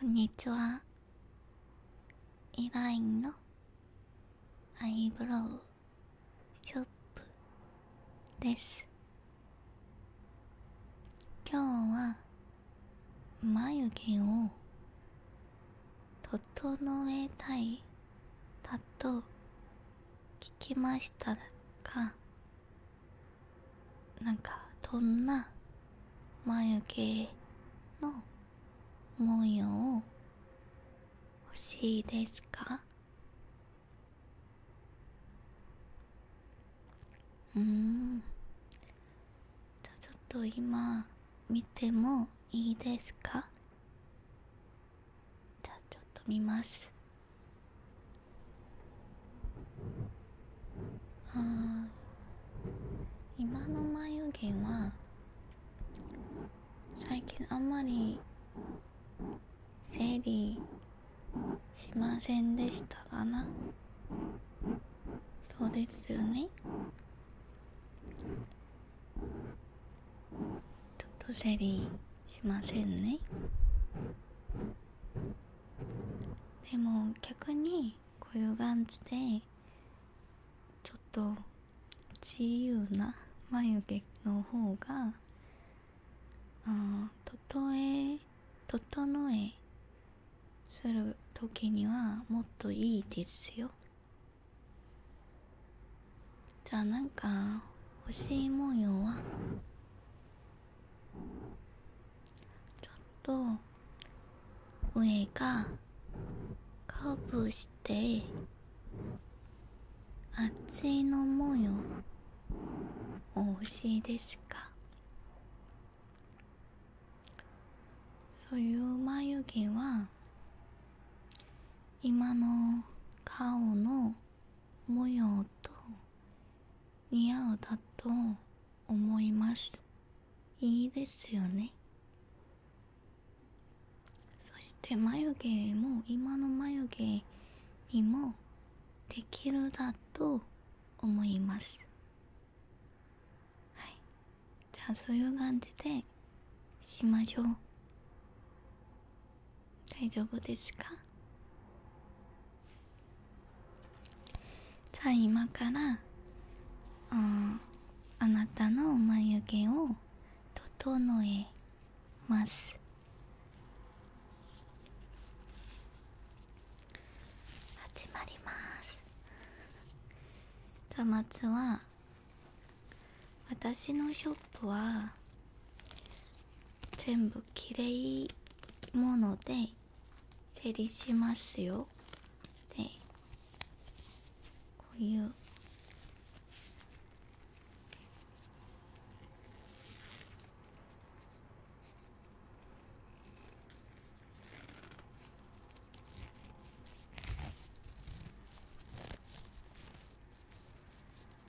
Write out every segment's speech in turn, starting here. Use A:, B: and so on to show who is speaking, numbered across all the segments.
A: こんにちは。イラインのアイブロウショップです。今日は眉毛を整えたいだと聞きましたがなんかどんな眉毛の模様を欲しいですかうんじゃちょっと今見てもいいですかじゃあちょっと見ますあ今の眉毛は最近あんまり整理しませんでしたかなそうですよねちょっとセリーしませんねでも逆にこういう感じでちょっと自由な眉毛の方があとえ整えする時にはもっといいですよじゃあなんか欲しい模様はちょっと上がカーブしてあっちの模様お欲しいですかそういう眉毛は今の顔の模様と似合うだと思いますいいですよねそして眉毛も今の眉毛にもできるだと思いますはいじゃあそういう感じでしましょう大丈夫ですかじゃあ今からああなたの眉毛を整えます始まりますざまつは私のショップは全部きれいもので照りしますよでこういう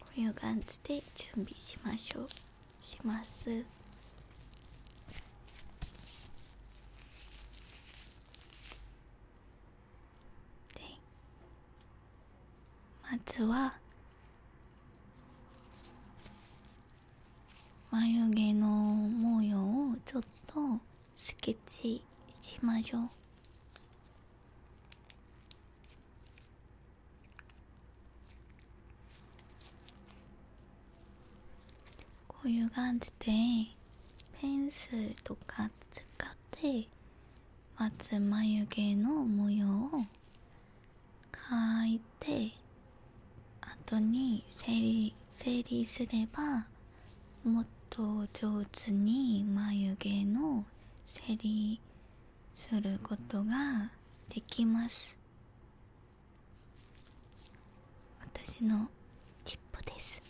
A: こういう感じで準備しましょうしますまずは眉毛の模様をちょっとスケッチしましょうこういう感じでペンスとか使ってまず眉毛の模様を書いて後に整理整理すればもっと上手に眉毛の整理することができます私のチップです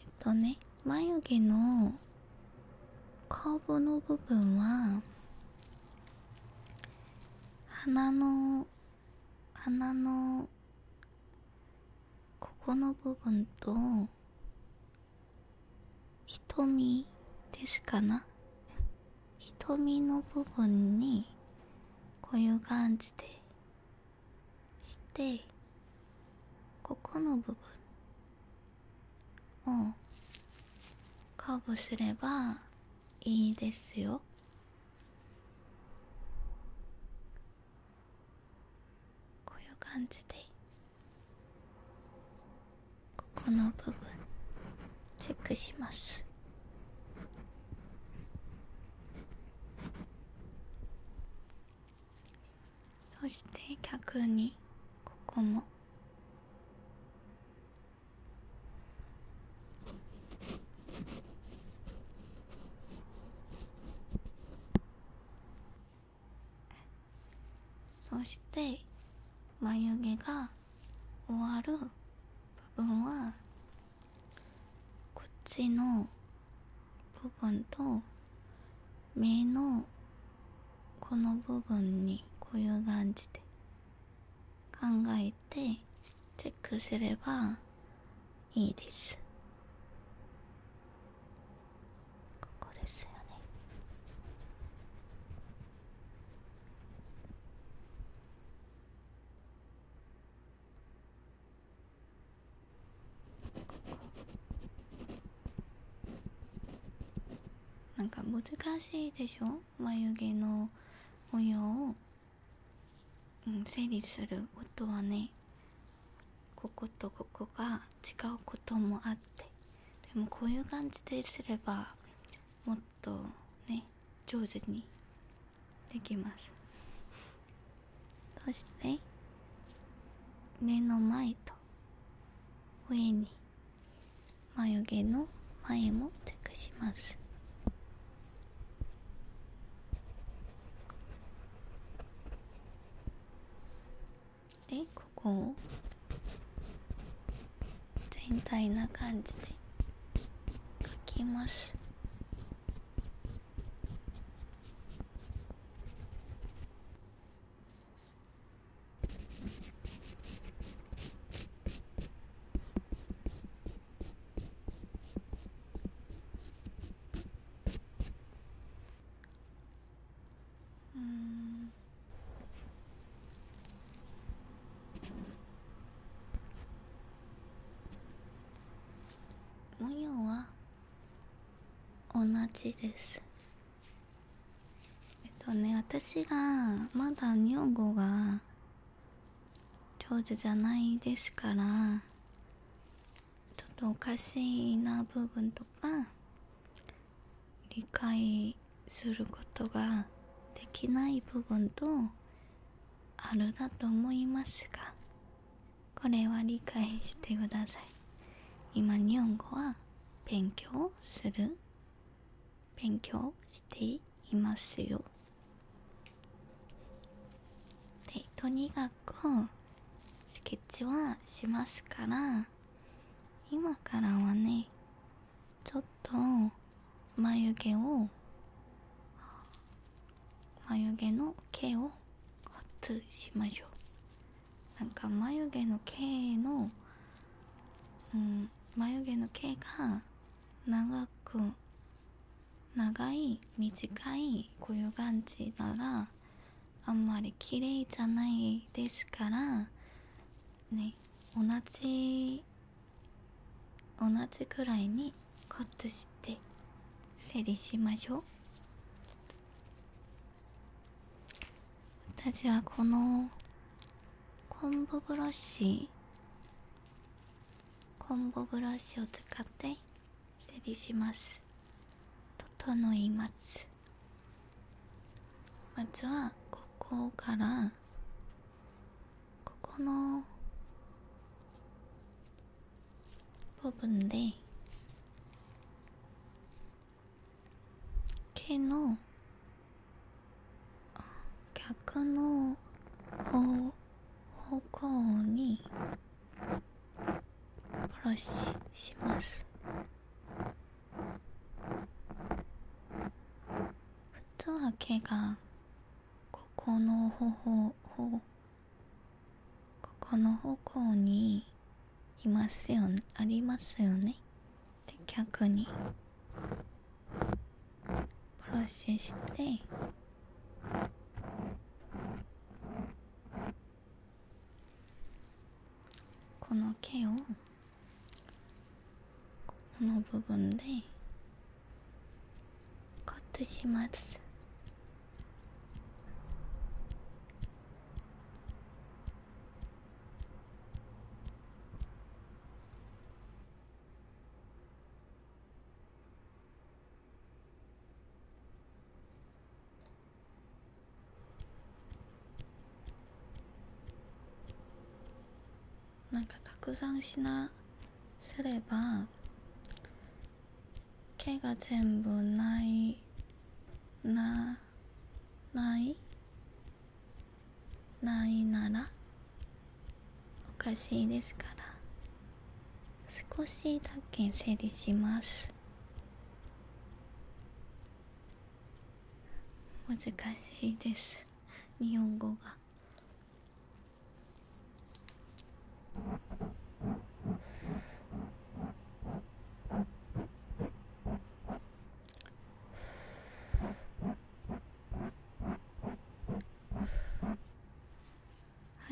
A: えっとね眉毛の顔の部分は鼻の鼻のここの部分と瞳ですかな瞳の部分にこういう感じでしてここの部分うんカーブすればいいですよこういう感じでここの部分チェックしますそして逆にここも。そして眉毛が終わる部分はこっちの部分と目のこの部分にこういう感じで考えてチェックすればいいですここですよねここなんか難しいでしょ眉毛の模様を、うん、整理することはねこことここが違うこともあってでもこういう感じですればもっとね上手にできますそして目の前と上に眉毛の前もチェックしますでここを全体な感じで描きますうん模様は同じですえっとね私がまだ日本語が上手じゃないですからちょっとおかしいな部分とか理解することができない部分とあるだと思いますがこれは理解してください今日本語は勉強する勉強していますよでとにかくスケッチはしますから今からはねちょっと眉毛を眉毛の毛をカットしましょうなんか眉毛の毛の、うん、眉毛の毛が長く長い短いこういう感じならあんまり綺麗じゃないですからね同じ同じくらいにカットして整理しましょう私はこのコンボブラシコンボブラシを使って整理します整いますまずはここからここの部分で毛の逆の方方向にブラシします普通は毛がここの方法ここの方向にいますよねありますよねで逆にプロセスしてこの毛をこの部分でカットしますなんかたくさん品すれば毛が全部ないながないないならおかしいですから少しだけ整理します難しいです日本語が。は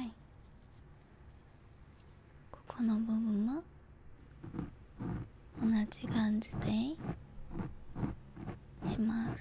A: いここの部分も同じ感じでします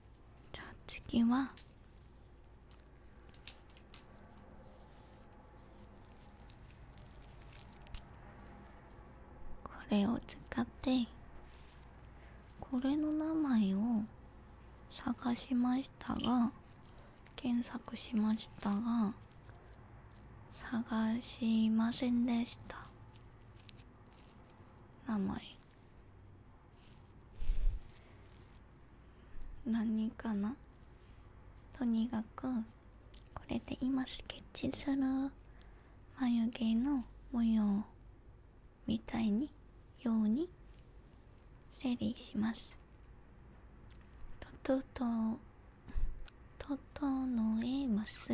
A: じゃあ次はこれを使ってこれの名前を探しましたが検索しましたが探しませんでした名前何かなとにかくこれで今スケッチする眉毛の模様みたいにように整理しますととととと整えます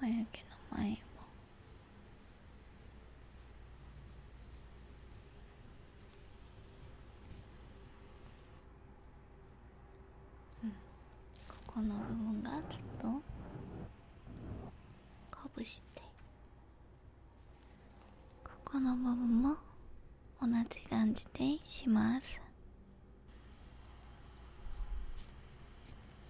A: 眉毛の前もここの部分がちっとかぶしてここの部分も同じ感じでします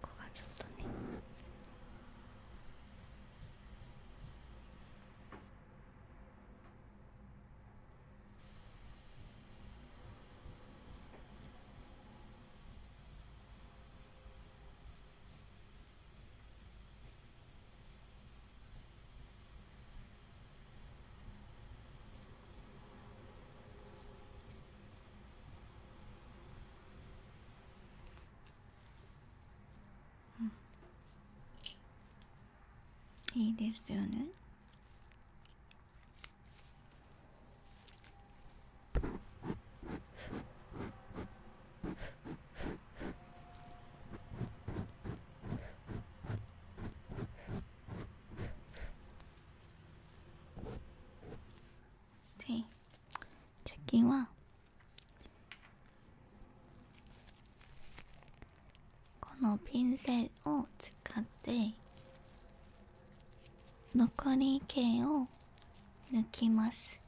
A: ここがちょっとねうん、いいですよね对，最近はこのピンセを使って残り毛を抜きます。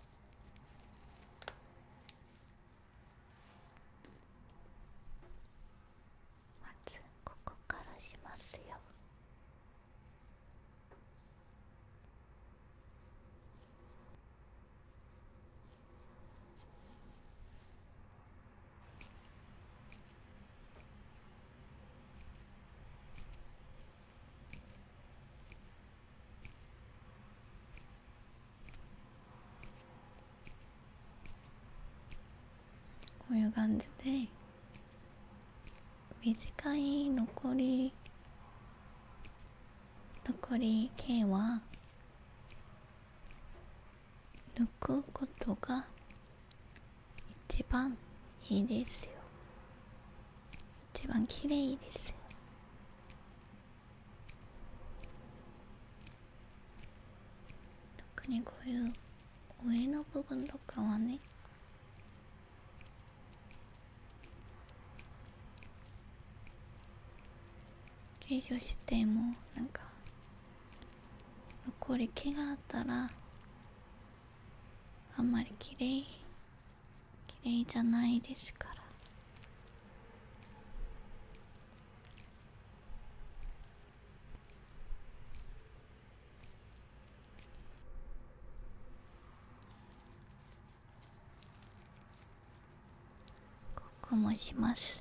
A: まずここからしますよこういう感じで短い残り残り毛は抜くことが一番いいですよ一番綺麗です特にこういう上の部分とかはね救助してもなんか残り木があったらあんまりきれい。綺麗じゃないですからここもします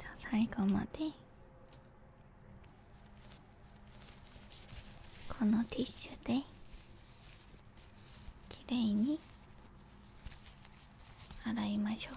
A: じゃあ最後までこのティッシュできれいに洗いましょう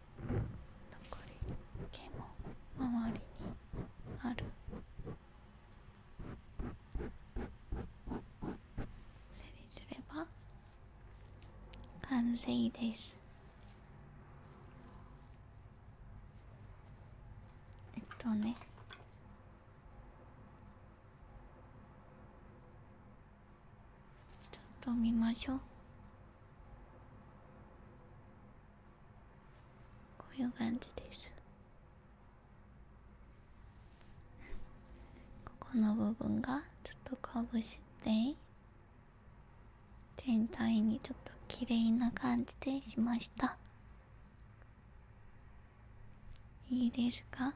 A: り毛も周りにある整理すれば完成ですえっとねちょっと見ましょうこういう感じです ここの部分がちょっとかぶして全体にちょっと綺麗な感じでしましたいいですか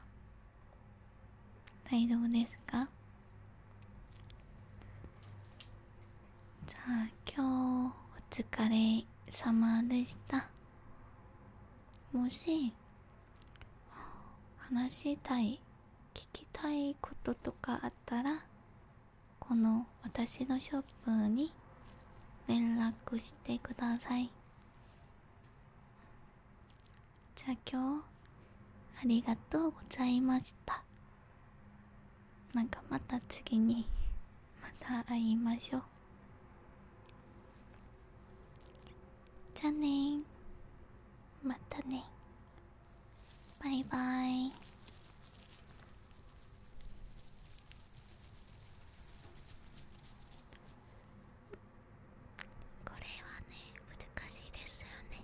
A: 大丈夫ですかじゃあ今日お疲れ様でしたもし話したい聞きたいこととかあったらこの私のショップに連絡してくださいじゃあ今日ありがとうございました。なんかまた次にまた会いましょうじゃあねまたねバイバイこれはね難しいですよね